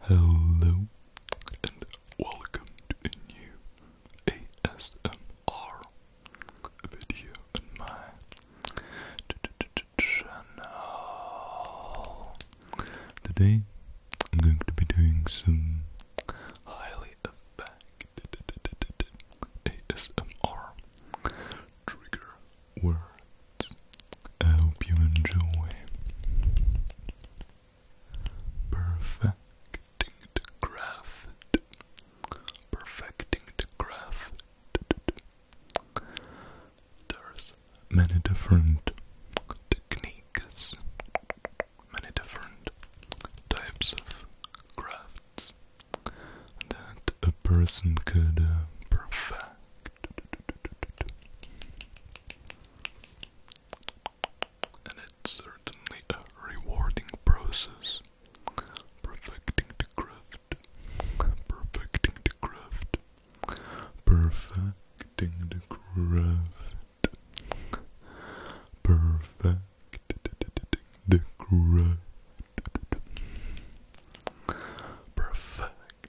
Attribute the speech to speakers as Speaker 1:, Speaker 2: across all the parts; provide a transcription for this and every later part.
Speaker 1: Hello and welcome to a new ASMR video on my channel. Today I'm going to be doing some highly effective ASMR trigger words. I hope you enjoy perfecting the craft, perfecting the craft. There's many different techniques, many different types of crafts that a person could uh, perfect. And it's certainly a rewarding process. Perfecting the craft. Perfecting the craft. Perfecting the craft. Perfect the craft. Perfect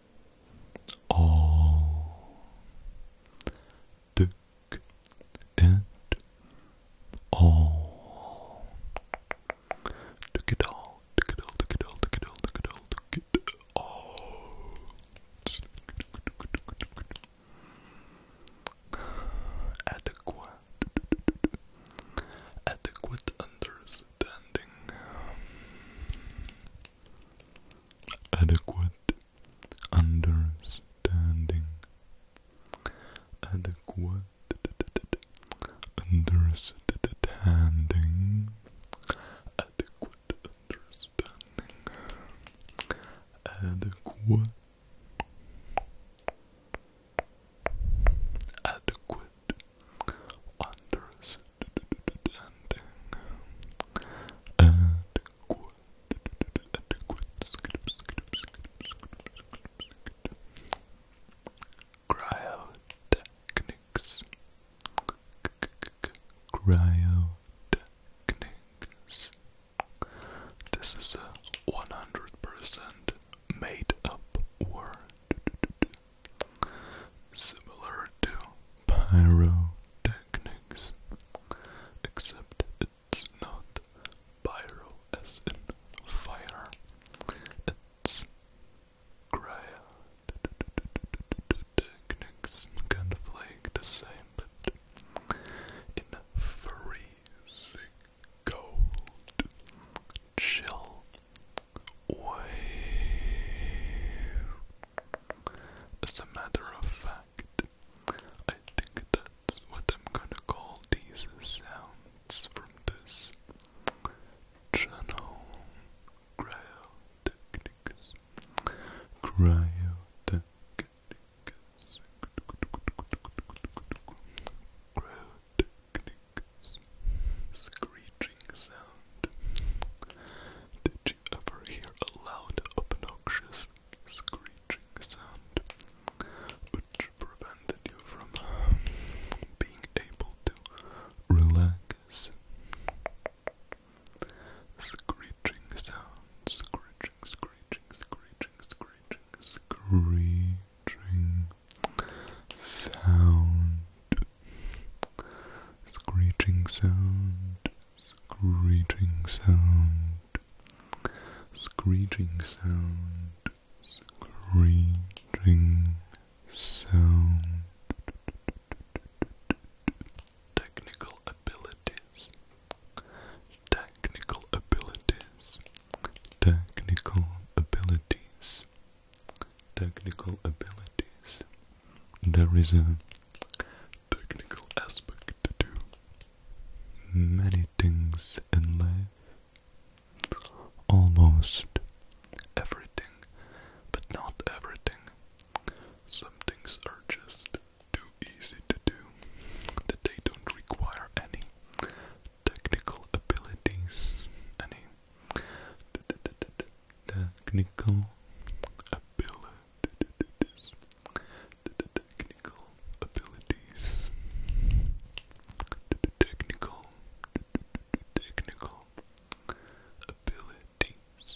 Speaker 1: all Duck it all, Duck it all, Duck it all, Duck it all, Duck it all, Duck it all Adequate Adequate under standing um, adequate understanding adequate understanding adequate understanding adequate adequate understanding, adequate,
Speaker 2: cryotechnics, cryotechnics. This is a 100% made up word
Speaker 1: similar to pyrotechnics, except
Speaker 2: it's not pyro as in fire, it's cryotechnics, kind of like the same, but in freezing cold, chill, wave. As a matter of fact, I think that's what I'm gonna call these sounds from this channel. Cryotechnicus. Cryotechnicus. Cryotechnicus screeching
Speaker 1: sound. Did you ever hear a loud, obnoxious screeching sound which prevented you from being able to relax? Screeching sound, screeching, screeching, screeching, screeching, screeching sound, screeching sound, screeching sound, screeching sound, screeching sound. Technical abilities, technical abilities, technical abilities, technical abilities. There is a technical aspect to do many things in life. Almost everything, but not everything. Some things are just too easy to do that they don't require any technical abilities. Any technical abilities. Technical abilities. Technical. Technical abilities.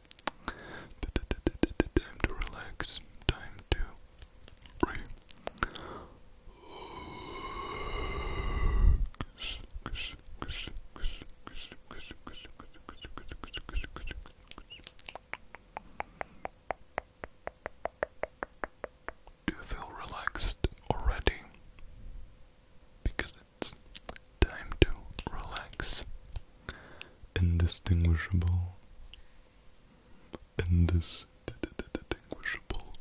Speaker 1: Time to relax. Time to Do you feel relaxed already? Because it's time to relax. Indistinguishable. Indis distinguishable.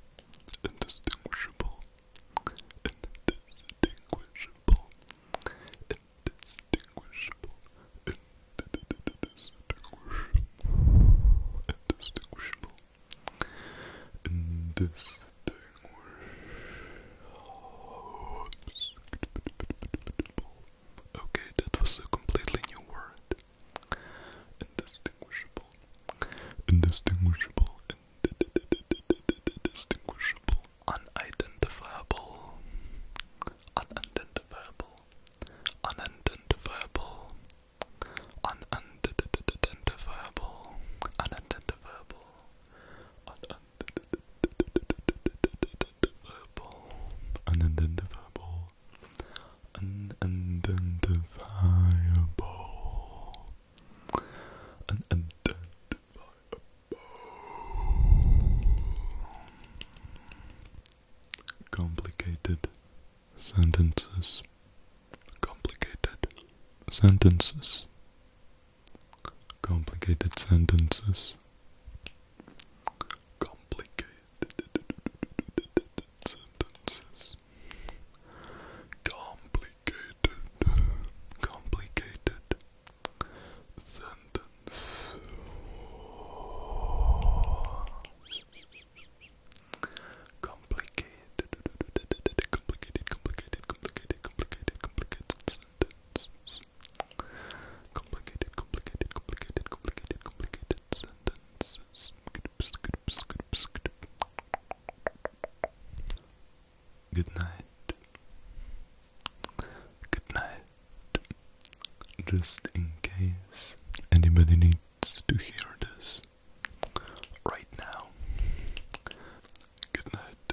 Speaker 1: Indistinguishable. Indistinguishable. Indistinguishable. Indistinguishable. Indistinguishable. Indistinguishable. Okay, that was a completely new word. Indistinguishable. Indistinguishable. Indistinguishable. Unidentifiable. Unidentifiable. Unidentifiable. Unidentifiable. Unidentifiable. Unidentifiable. Verbal, unidentifiable, unidentifiable, unidentifiable. Complicated sentences. Complicated sentences complicated sentences. Complicated sentences. Complicated, complicated sentence.
Speaker 2: complicated, complicated, complicated complicated, complicated, complicated Complicated, complicated, complicated, Good night.
Speaker 1: Good night. Just in case anybody needs to hear this right now. Good night.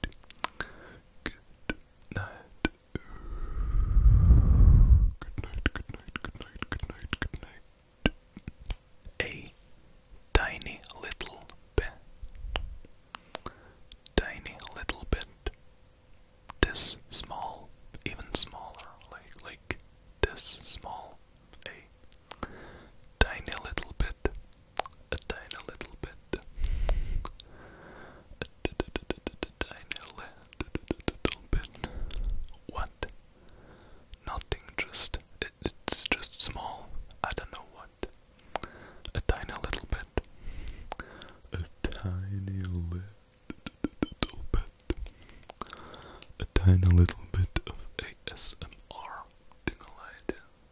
Speaker 1: Good night. Good
Speaker 2: night, good night, good night, good night, A tiny little bit. Tiny little bit. This small, even smaller, like like this small. A tiny little bit a tiny little bit, a tiny little bit. What? Nothing. Just it's just small. I don't know what. A tiny little
Speaker 1: bit. A tiny little. bit, a tiny little bit of ASMR, thing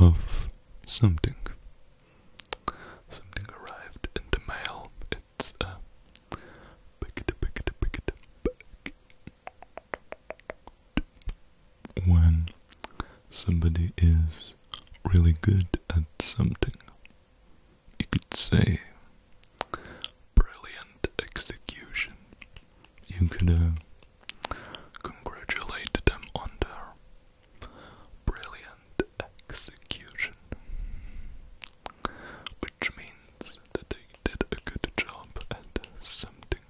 Speaker 1: of something. Something arrived in the mail. Uh, when somebody is really good at something, you could say brilliant execution. You could congratulate them on their
Speaker 2: brilliant execution which means that they did a good job at something,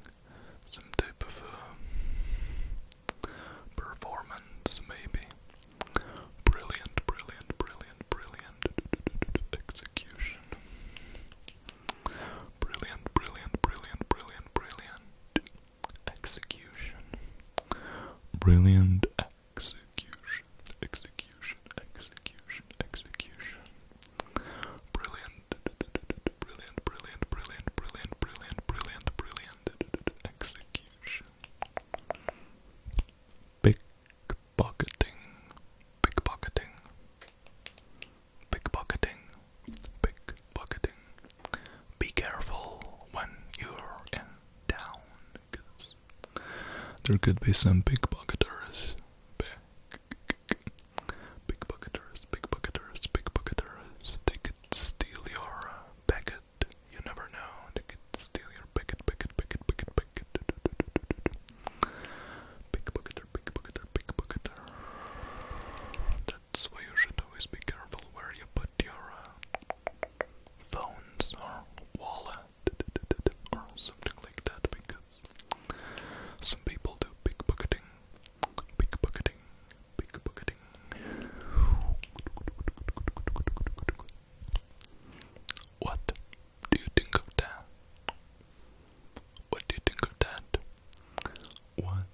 Speaker 2: some type of um, performance, maybe. Brilliant, brilliant, brilliant, brilliant execution. Brilliant, brilliant, brilliant, brilliant, brilliant execution. Brilliant Execution, execution, execution, execution. Brilliant, brilliant, brilliant, brilliant, brilliant,
Speaker 1: brilliant, brilliant, brilliant. Execution. Pickpocketing, pickpocketing, pickpocketing, pickpocketing. Be careful when you're in town, there could be some big Pickpocketers, pickpocketers, pickpocketers. They could steal your uh, packet. You never know. They could steal your packet, packet, packet, packet, packet. Pickpocketer, pickpocketer, pickpocketer. That's why you should always be careful where you put your uh, phones or wallet
Speaker 2: or something like that because some people do big bucketing, big What do you think of that? What do you think of that? What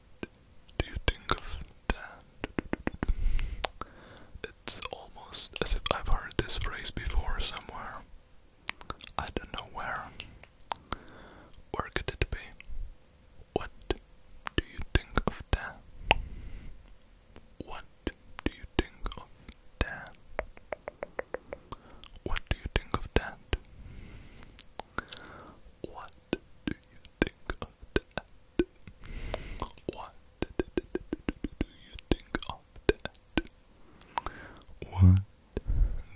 Speaker 2: do you think of that? it's almost as if I've heard this phrase before somewhere. I don't know where. Where could it be? What do you think of that? What do you think of that?
Speaker 1: What do you think of that? What do you think what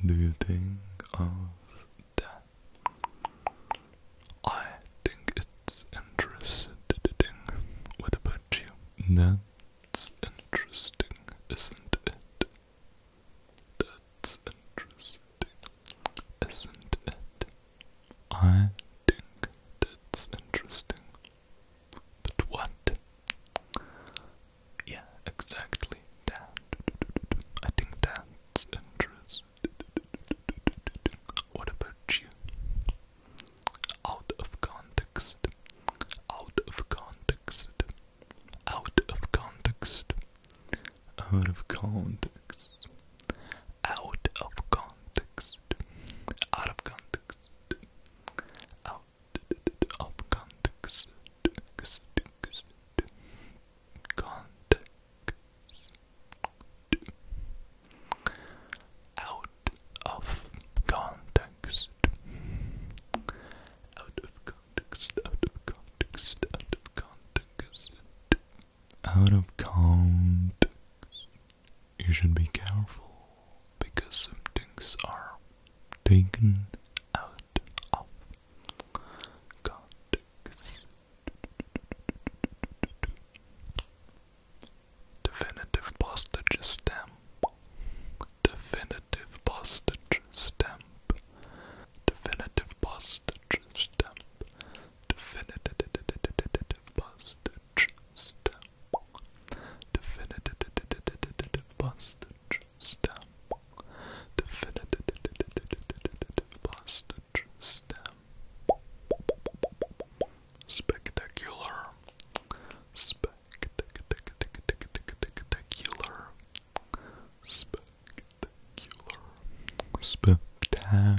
Speaker 1: do you think of that? What do you think of that? I think it's interesting. What about you? That's
Speaker 2: interesting, isn't it? That's interesting, isn't it? I think that's interesting. But what? Yeah, exactly I think that's interesting.
Speaker 1: What about you? Out of context. Out of context. Out of context. Out of context out of context, out of context, out of context,
Speaker 2: context, out of context, out of context, out of context,
Speaker 1: out of context out of count, you should be careful because some things are taken out of
Speaker 2: context. Definitive postage stamp. Definitive postage stamp. Definitive postage stamp. Definitive Bustage Stamp. Definitive Bustage Stamp. Definitive Bustage Stamp.
Speaker 1: Spectacular. Spectacular. Spectacular. Spectacular. Spectacular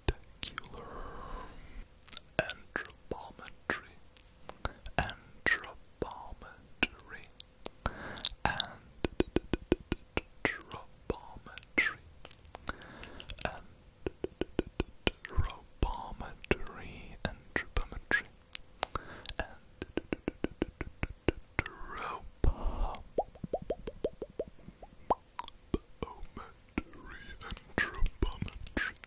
Speaker 2: spectacular. Anthropometry, anthropometry, anthropometry, anthropometry, anthropometry, anthropometry.
Speaker 1: Boometry and Tropometry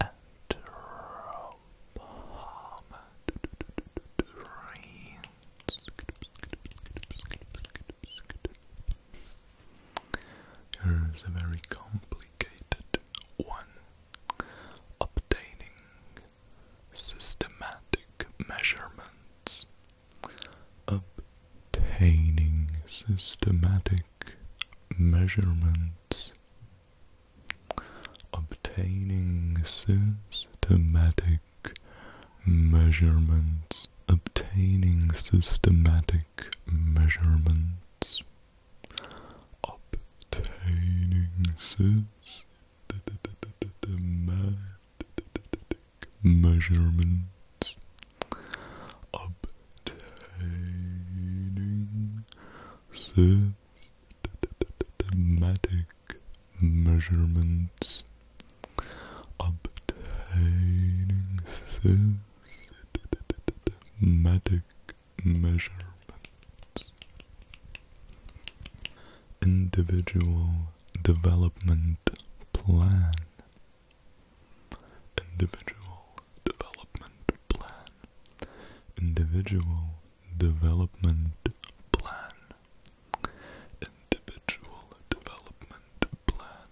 Speaker 1: and Tropometry. Here is a very complicated one. Obtaining systematic measurements obtaining systematic measurements, obtaining systematic measurements, obtaining systematic measurements, obtaining systematic measurements, obtaining systematic measurements, obtaining systematic measurements individual development plan. Individual development plan. Individual development plan. Individual development plan.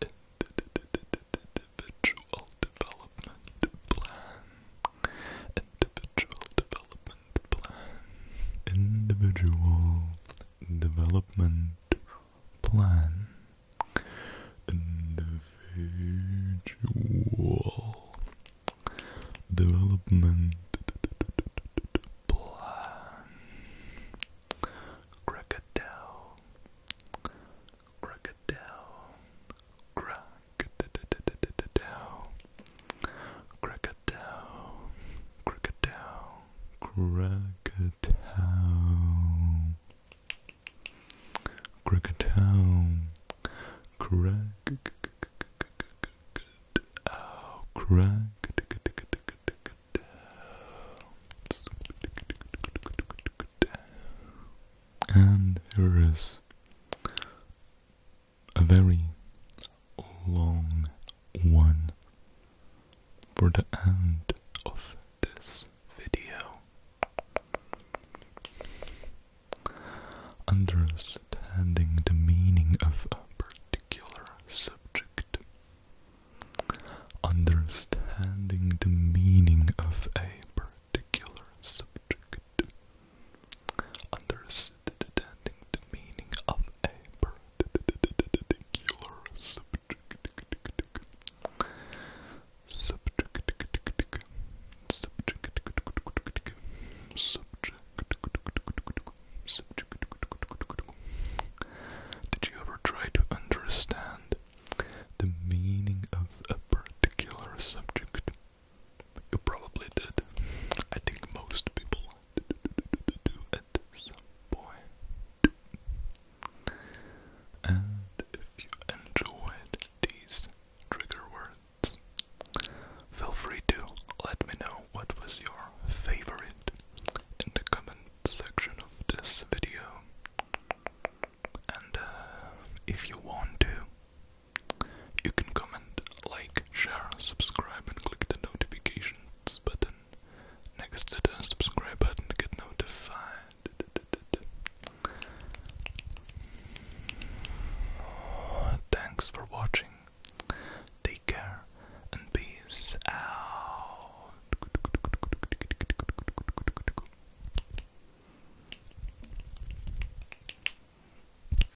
Speaker 1: Individual development plan. Individual development plan. Individual development plan individual development plan crocodile crocodile crocodile Krakatoa, Krakatoa, Krakatoa, Krakatoa, Krakatoa, Krakatoa. And here is a very long one for the end of this video. Understanding the meaning of a particular subject. Understanding the meaning of a particular subject. Understanding the meaning of a particular
Speaker 2: Subject. Did you ever try to understand the meaning of a particular subject? You probably did. I think most people at some And if you enjoyed these trigger words, feel free to let me know what was your favorite in the comment section of this video. And if you want to, you can comment, like, share, subscribe, and click the notifications button next to the subscribe button to get notified. Thanks for watching. Take care and peace out.